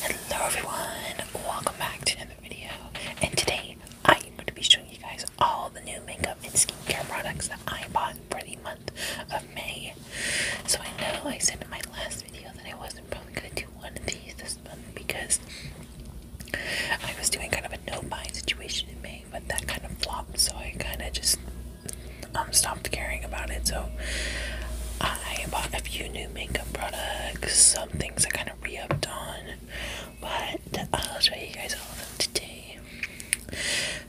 Hello everyone, welcome back to another video, and today I am going to be showing you guys all the new makeup and skincare products that I bought for the month of May. So I know I said in my last videos and I wasn't probably gonna do one of these this month because I was doing kind of a no buy situation in May, but that kind of flopped, so I kind of just um, stopped caring about it. So I bought a few new makeup products, some things I kind of re upped on, but I'll show you guys all of them today.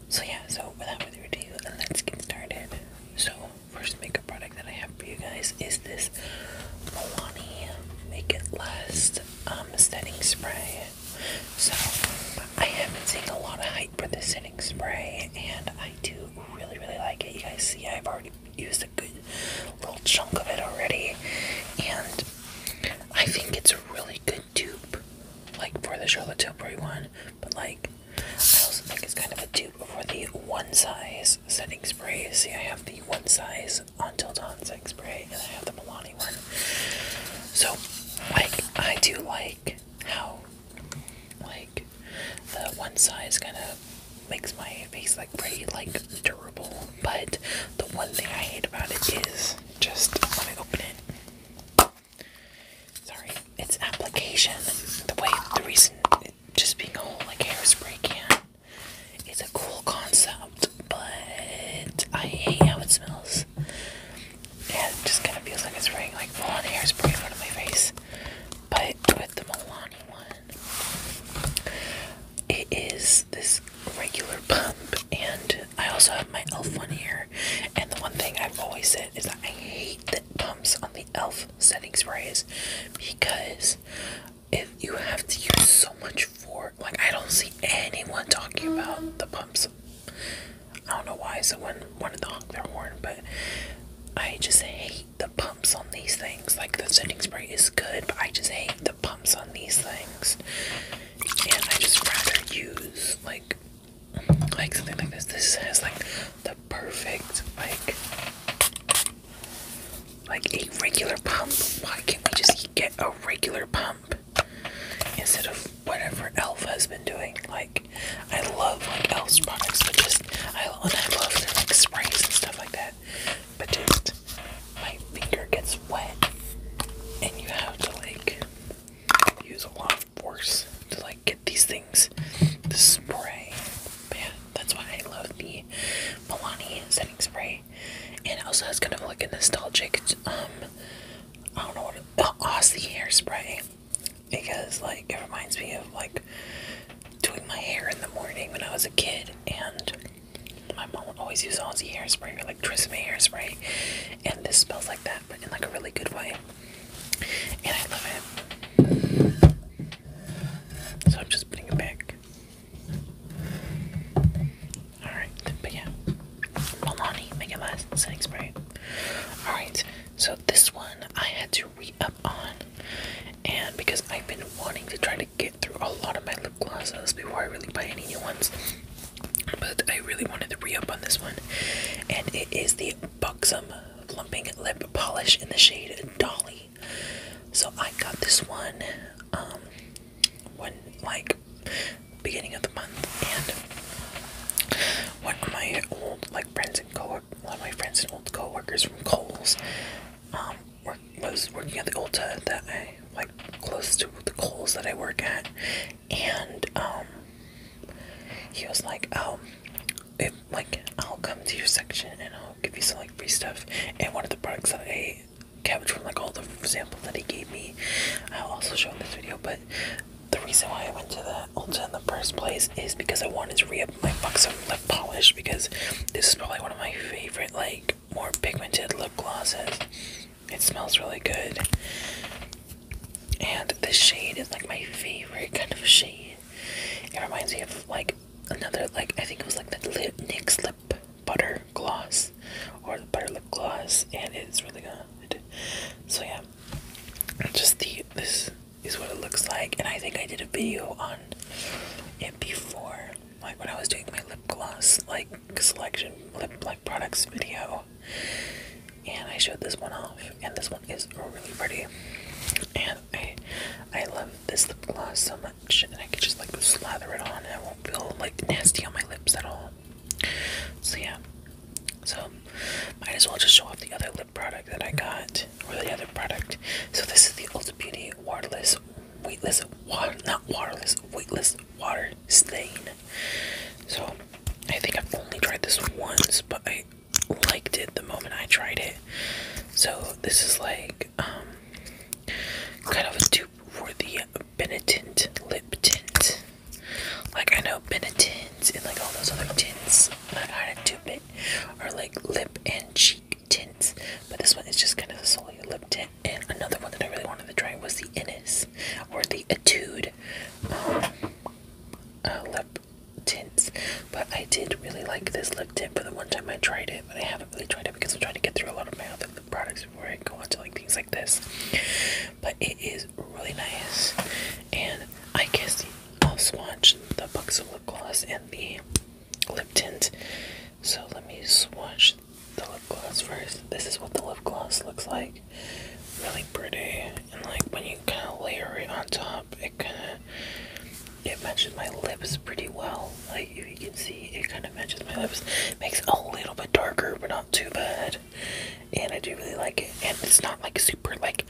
So, yeah, so without further ado, let's get started. So, first makeup product that I have for you guys is this Milani Make It Last um, setting spray. So I haven't seen a lot of hype for the setting spray, and I do really really like it. You guys see, I've already used a good little chunk of it already, and I think it's a really good dupe, like for the Charlotte Tilbury one. But like, I also think it's kind of a dupe for the one size setting spray. See, I have the one size until dawn setting spray, and I have the Milani one. So, like, I do like how, like, the one size kind of makes my face like pretty like durable. But the one thing I hate about it is just when I open it. Sorry, its application. The way the reason just being a whole like hairspray can. It's a cool concept, but I hate how it smells. Yeah, it just kind of feels like it's spraying like full on hairspray in front of my face. But with the Milani one, it is this regular pump, and I also have my elf one here. And the one thing I've always said is that I hate that on the elf settings raise because if you have to use so much for like I don't see anyone talking about the pumps. I don't know why someone wanted to honk their horn, but I just hate the pumps on these things. Like the setting spray is good, but I just hate the pumps on these things. And I just rather use like like something like this. This has like the perfect like like a regular pump. Why can't we just get a regular pump instead of whatever Elf has been doing? Like I love like Elf's products, but just I and I love their like sprays and stuff like that. But just my finger gets wet, and you have to like use a lot of force to like get these things. The spray. Man, that's why I love the Milani setting spray. And also it's kind of like a nostalgic um I don't know what the Aussie hairspray. Because like it reminds me of like doing my hair in the morning when I was a kid and my mom would always use Aussie hairspray or like Trisame hairspray and this smells like that but in like a really good way. And I love it. So I'm just putting it back. Alright, but yeah. Milani, Mega Last, Setting Spray. Alright, so this one I had to re up on. And because I've been wanting to try to get through a lot of my lip glosses before I really buy any new ones. But I really wanted to re up on this one. And it is the Buxom plumping lip polish in the shade Dolly. So I got this one um when like beginning of the month and one of my old like friends and co one of my friends and old coworkers from Coles um work, was working at the Ulta that I like close to the Coles that I work at and um he was like, oh, if like I'll come to your section and I'll give you some like free stuff. And one of the products that I caved from like all the sample that he gave me, I'll also show in this video. But the reason why I went to the Ulta in the first place is because I wanted to re-up my box of lip polish because this is probably one of my favorite like more pigmented lip glosses. It smells really good. And the shade is like my favorite kind of shade. It reminds me of like another like I think it was like the lip, NYX lip butter gloss or the butter lip gloss, and it's really good. So yeah, just the this is what it looks like, and I think I did a video on it before, like when I was doing my lip gloss like selection lip like products video and I showed this one off and this one is really pretty and I I love this lip gloss so much and I can just like slather it on and it won't feel like nasty on my lips at all so yeah so might as well just show off the other lip product that I got or the other product so this is the Ulta Beauty waterless weightless water not waterless weightless water stain so I think I've only tried this once but I liked it the moment I tried it. So this is like um, kind of a dupe for the Benetint lip tint. Like I know Benetint and like all those other tints that kind a dupe it are like lip and cheek tints, but this one is just kind of solely a lip tint. And another one that I really wanted to try was the Innis or the Etude um, uh, lip tints, but I did really like this lip tint for the one time I tried it, but I haven't really tried it because I'm trying to get through a lot of my other lip products before I go on to like things like this. But it is really nice, and I guess I'll swatch the box of lip gloss and the lip tint. So let me swatch the lip gloss first. This is what the lip gloss looks like. Really pretty, and like when you kind of layer it on top, it kind matches my lips pretty well. Like if you can see, it kind of matches my lips. Makes a little bit darker, but not too bad. And I do really like it. And it's not like super like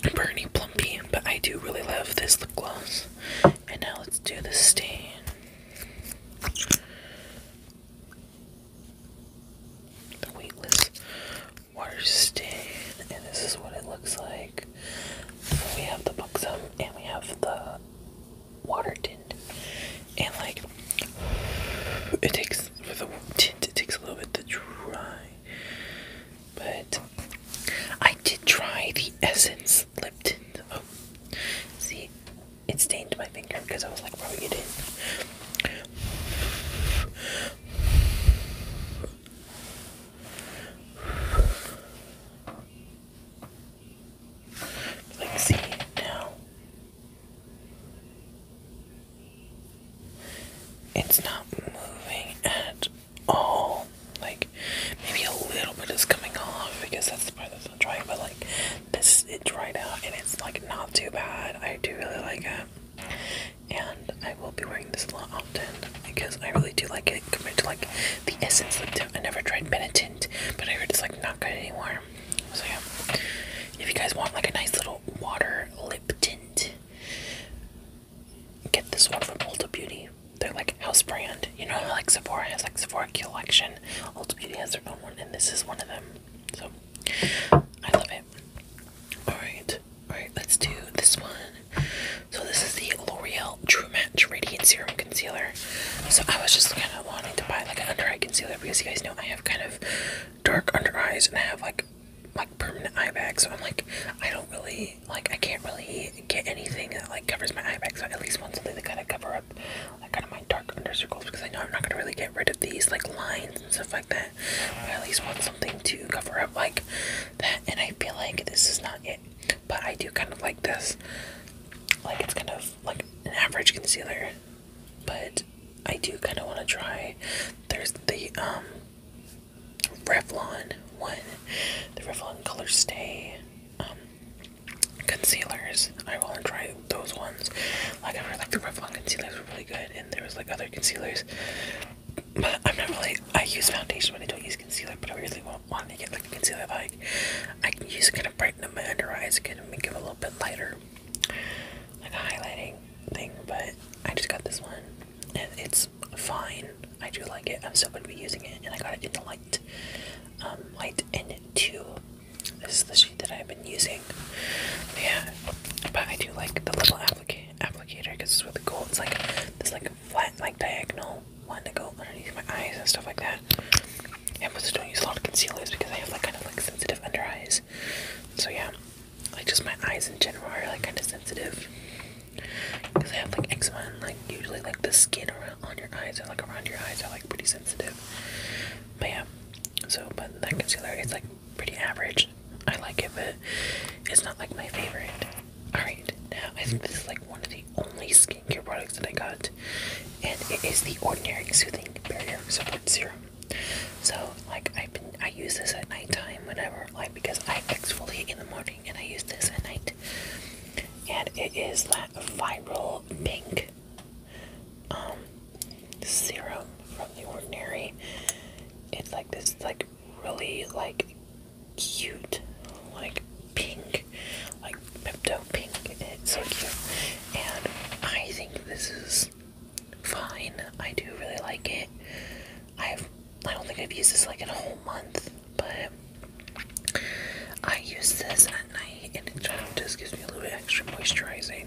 burny plumpy, but I do really love this lip gloss. And now let's do the stain. The weightless water stain, and this is what it looks like. We have the buxom, and we have the water tint, and like it takes for the tint, it takes a little bit to dry. But I did try the Essence lip tint. Oh, see, it stained my finger because I was like, rubbing it in. Like, see now, it's not moving at all. Like, maybe a little bit is coming off because that's the part that's not drying, but like, this it dried out and it's like not too bad. I do really like it and I will be wearing this a lot often because I really do like it compared to like the Essence lip tint. I never tried penitent, but I heard it's like not good anymore. So yeah, if you guys want like a nice little water lip tint, get this one from Ulta Beauty. They're like house brand. You know, like Sephora has like Sephora Collection. Ulta Beauty has their own one, and this is one of them. So I love it. Alright, Alright, let's do this one. So this is the L'Oreal True Match Radiant Serum Concealer. So I was just kind of wanting to buy like an under eye concealer because you guys know I have kind of dark under eyes and I have like like permanent eye bags. So I'm like, I don't really like I can't really get anything that like covers my eye bags. So I at least want something to kind of cover up like kind of my dark under circles because I know I'm not gonna really get rid of these like lines and stuff like that at least want something to cover up like that. And I feel like this is not it. But I do kind of like this. Like it's kind of like an average concealer. But I do kind of want to try. There's the um Revlon one. The Revlon Color Stay um concealers. I want to try those ones. Like I really like the Revlon concealers really good, and there was like other concealers. But I'm not really. I use foundation when I don't use concealer, but I really want, want to get like a concealer like I can use kind of brighten up my under eyes, kind of make them a little bit lighter, like a highlighting thing. But I just got this one, and it's fine. I do like it. I'm still gonna be using it, and I got it in the light, um, light in it too. This is the shade that I'm been using. Yeah, but I do like the little applicator because it's really cool. It's like this like flat like diagonal one to go underneath my eyes and stuff like that. I also don't use a lot of concealers because I have like kind of like sensitive under eyes. So yeah, like just my eyes in general are like kind of sensitive because I have like eczema and like usually like the skin around on your eyes or like around your eyes are like pretty sensitive. But yeah, so but that concealer is like pretty average. I like it, but it's not like my favorite. Alright, now I think this is like one of the only skincare products that I got, and it is the Ordinary Soothing Barrier Support Serum. So, like, I've been I use this at nighttime whenever, like, because I exfoliate in the morning and I use this at night. And it is that viral pink. Um, serum from the ordinary. It's like this like really like cute like pink like Pepto pink. It's so cute. And I think this is fine. I do really like it. I've I don't think I've used this like in a whole month, but I use this at night and it just gives me a little bit extra moisturizing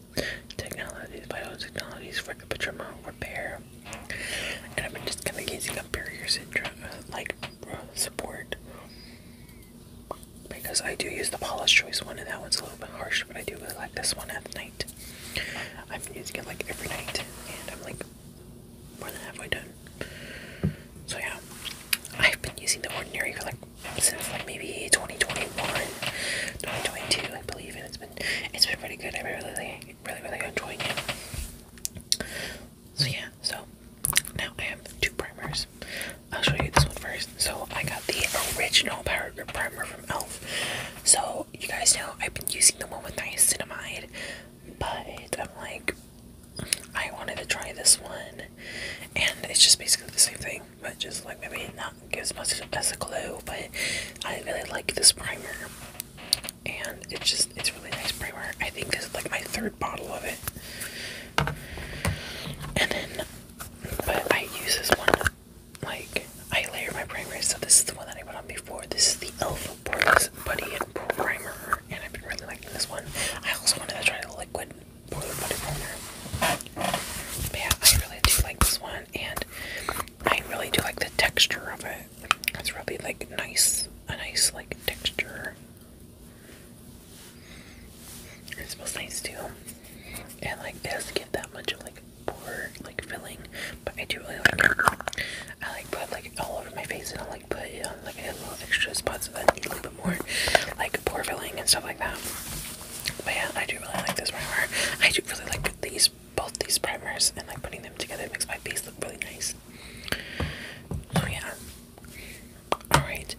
technologies, vital for epidermal repair. And I've been just kind of gazing up barrier syndrome, uh, like uh, support, because I do use the Paula's Choice one, and that one's a little bit harsh, but I do really like this one at night. I've been using it like every night, and I'm like more than halfway done. So yeah, I've been using the Ordinary for like since like maybe 2021, 2022, I believe, and it's been it's been pretty good. I've been really, really, really enjoying it. So yeah, so now I have two primers. I'll show you this one first. So I got the original Power Grip primer from Elf. So you guys know I've been using the one with niacinamide, but I'm like I wanted to try this one, and it's just basically the same thing but just like maybe not gives much as a clue. But I really like this primer, and it's just it's really nice primer. I think this is like my third bottle of it, and then but I use this one like I layer my primer. So this is the one that I put on before. This is the Elf Poreless Buddy Primer, and I've been really liking this one. I also wanted to try the liquid more than yeah, I really do like this one, and I really do like the texture of it. It's really like nice, a nice like texture. It smells nice too, and like it doesn't get that much of like poor like filling, but I do really like I like put like all over my face, and I like put it um, on like I had little extra spots so that need a little bit more like pore filling and stuff like that. But yeah, I do really like this primer. I do really like these both these primers and like putting them together makes my face look really nice. So yeah. Alright.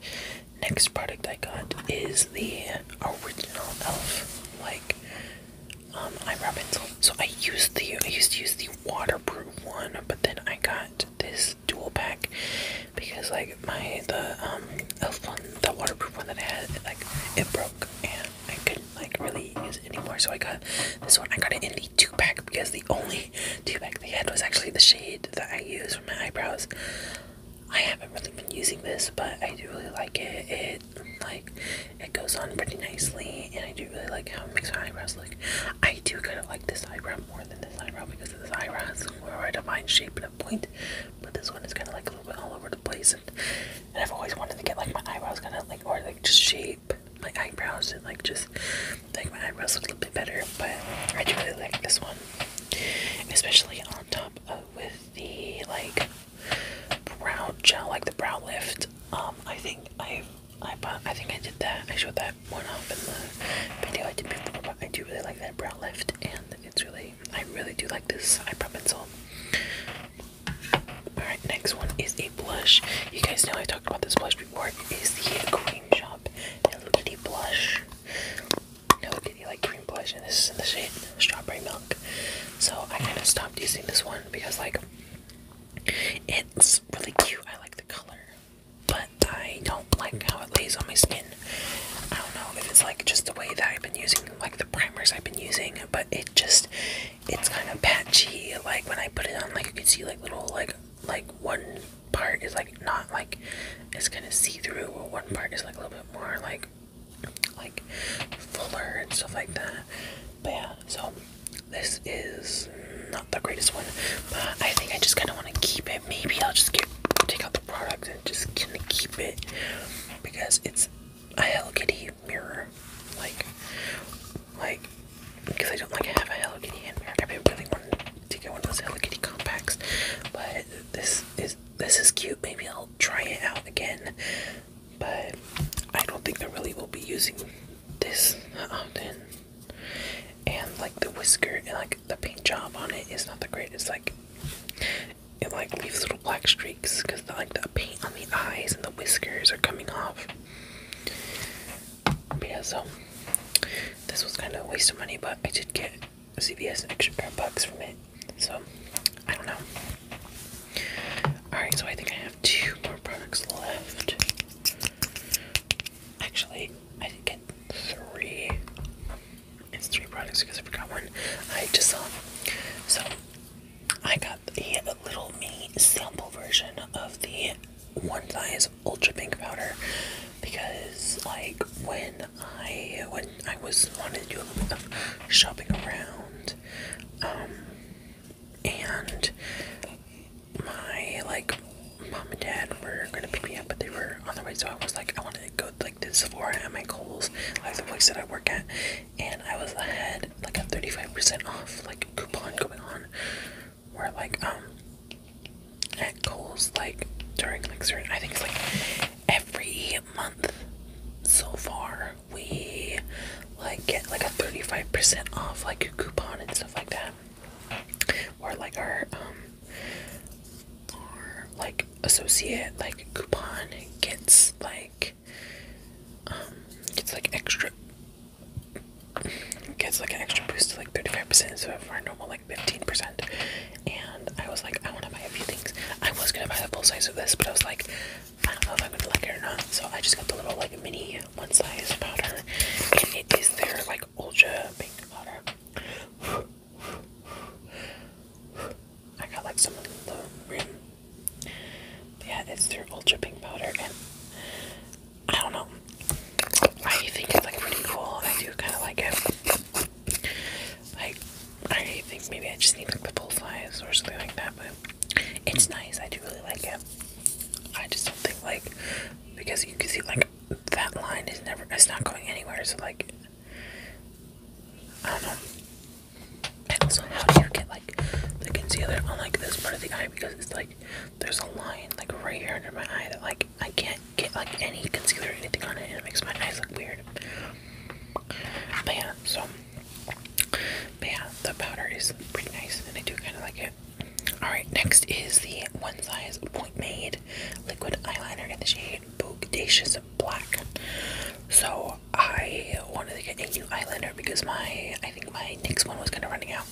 Next product I got is the original elf like um eyebrow pencil. So I used the I used to use the waterproof one, but then I got this dual pack because like my the um elf one, the waterproof one that I had, it, like it broke and I couldn't like really use it anymore. So I got this one. I got it in the two pack because the only two pack they had was actually the shade that I use for my eyebrows. I haven't really been using this, but I do really like it. It like it goes on pretty nicely, and I do really like how it makes my eyebrows look. I do kind of like this eyebrow more than this eyebrow because this eyebrow has more of a defined shape and a point, but this one is kind of like a little bit all over the place. And, I've always wanted to get like my eyebrows kind of like, or like just shape my eyebrows and like just like my eyebrows look a little bit better. But I do really like this one, especially on top of with the like brow gel, like the brow lift. Um, I think i I bought, I think I did that. I showed that one off in the video I did before, but I do really like that brow lift, and it's really I really do like this eye eyebrow pencil. Alright, next one is a blush. You guys know I talked about this blush before. It is the Cream Shop Hello Kitty blush. Hello Kitty like cream blush, and this is in the shade Strawberry Milk. So I kind of stopped using this one because, like, it's really cute. I like the color, but I don't like how it lays on my skin. I don't know if it's like just the way that I've been using like the primers I've been using, but it just it's kind of patchy. Like when I put it on, like you can see like little like like one part is like not like it's kind of see through, or one part is like a little bit more like like fuller and stuff like that. But yeah, so this is not the greatest one, but I think I just kind of want to keep it. Maybe I'll just get take out the product I'm just gonna keep it because it's a Hello Kitty mirror. Like, like, because I don't like have a Hello Kitty hand mirror. I really wanted to get one of those Hello Kitty compacts, but this is this is cute. Maybe I'll try it out again. But I don't think I really will be using this often. Uh, and like the whisker and like the paint job on it is not the greatest. Like it like leaves little black streaks because like the paint on the eyes and the whiskers are coming off. yeah, so this was kind of a waste of money, but I did get CVS an extra pair of bucks from it. So I don't know. Alright, so I think I have two more products left. Actually, I did get three. It's three products because I forgot one. I just saw. So I got the little me sample version of the One Size Ultra Pink Powder because, like, when I when I was wanted to do a little bit of shopping around, um, and my like mom and dad were gonna pick me up, but they were on their way, so I was like, I want to go like to Sephora at my Kohl's, like the place that I work at, and I was ahead like a 35% off like coupon going on, where like um at Kohl's like during like certain I think it's like every month so far we like get like a 35% off like coupon and stuff like that, or like our um or like associate like coupon gets like um gets like extra gets like an extra boost to like 35% so of our normal like 15% and I was like I want to buy a few things I was gonna buy the full size of this but I was like I don't know if I'm gonna like it or not so I just got the little like mini one size powder and it is there like ultra pink powder. I got like some of the rim. Yeah, it's their ultra pink powder, and I don't know. I think it's like pretty cool. I do kind of like it. Like, I think maybe I just need like the full or something like that, but it's nice. I do really like it. I just don't think like because you can see like that line is never it's not going anywhere. So like I don't know. And also, how do you get like the concealer on like this part of the eye because it's like there's a line like right here under my eye that like I can't get like any concealer or anything on it and it makes my eyes look weird. But yeah, so but yeah, the powder is pretty nice and I do kind of like it. Alright, next is the One Size Point Made Liquid Eyeliner in the shade and black. So I wanted to get a new eyeliner because my I think my next one was kind of running out.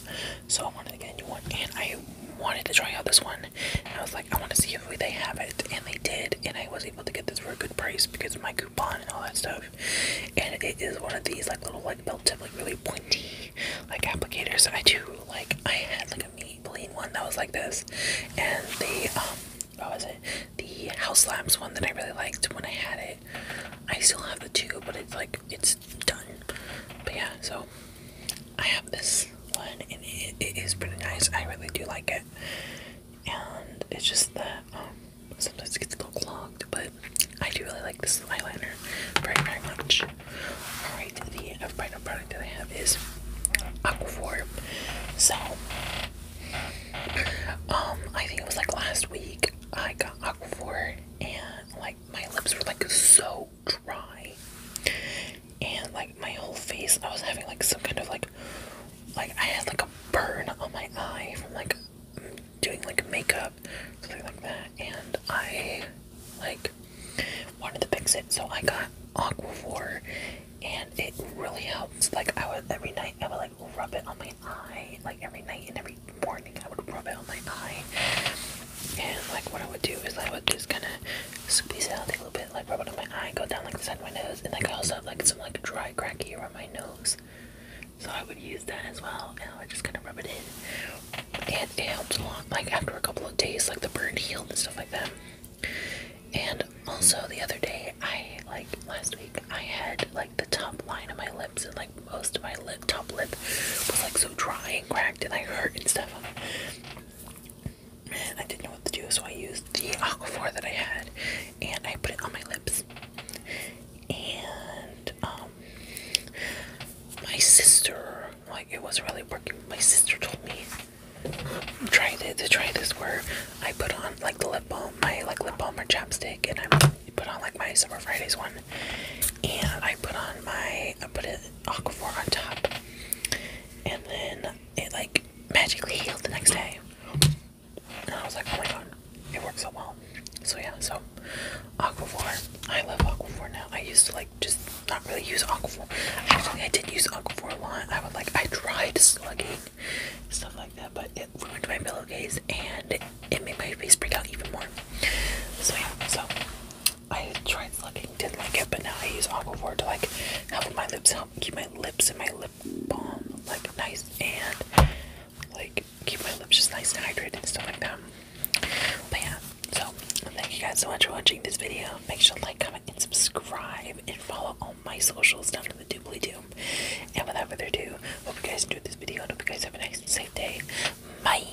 So I wanted to get a new one and I wanted to try out this one. And I was like, I want to see if they have it. And they did. And I was able to get this for a good price because of my coupon and all that stuff. And it is one of these like little like built tip like really pointy like applicators. I do like I had like a me Plain one that was like this, and the um, what was it? The house lamps one that I really liked when I had it. I still have the two, but it's like it's done. But yeah, so I have this one, and it is pretty nice. I really do like it, and it's just that um, sometimes it gets a little clogged, but I do really like this eyeliner very, very much. Alright, the uh, final product that I have is Aquaphor. So, um, I think it was like last week I got Aquaphor and like my lips were like so dry and like my whole face I was having like some kind of like like I had like a burn on my eye from like doing like makeup something like that and I like wanted to fix it. So I got Aquaphor and it really helps. Like I would every night I would like rub it on my eye. Like every night and every morning I would rub it on my eye. And like what I would do is I would just kinda squeeze out a little bit, like rub it on my eye, go down like the side of my nose, and like I also have like some like dry cracky around my nose. So I would use that as well, and I would just kind of rub it in, and it helps a lot. Like after a couple of days, like the burn healed and stuff like that. And also the other day, I like last week, I had like the top line of my lips and like most of my lip top lip was like so dry and cracked and I hurt and stuff. And I didn't know what to do, so I used the Aquaphor that I had and I put it on my lips. And um, my sister, like it was really working. My sister told me try to, to try this where I put on like the lip balm, my like lip balm or chapstick, and I put on like my Summer Fridays one, and I put on my I put it Aquaphor on top, and then it like magically healed the next day, and I was like, oh my god, it worked so well. So yeah, so Aquaphor, I love Aquaphor now. I used to like like just not really use aquaphor. Actually, I did use aquaphor a lot. I would like I tried slugging stuff like that, but it ruined my pillowcase and it made my face break out even more. So yeah, so I tried slugging, didn't like it, but now I use aquaphor to like help my lips help keep my lips and my lip balm like nice and like keep my lips just nice and hydrated and stuff like that. But yeah, so thank you guys so much for watching this video. Make sure to like, comment, and subscribe, and follow all my socials down in the doobly doo. And without further ado, hope you guys enjoyed this video. And hope you guys have a nice safe day. Bye.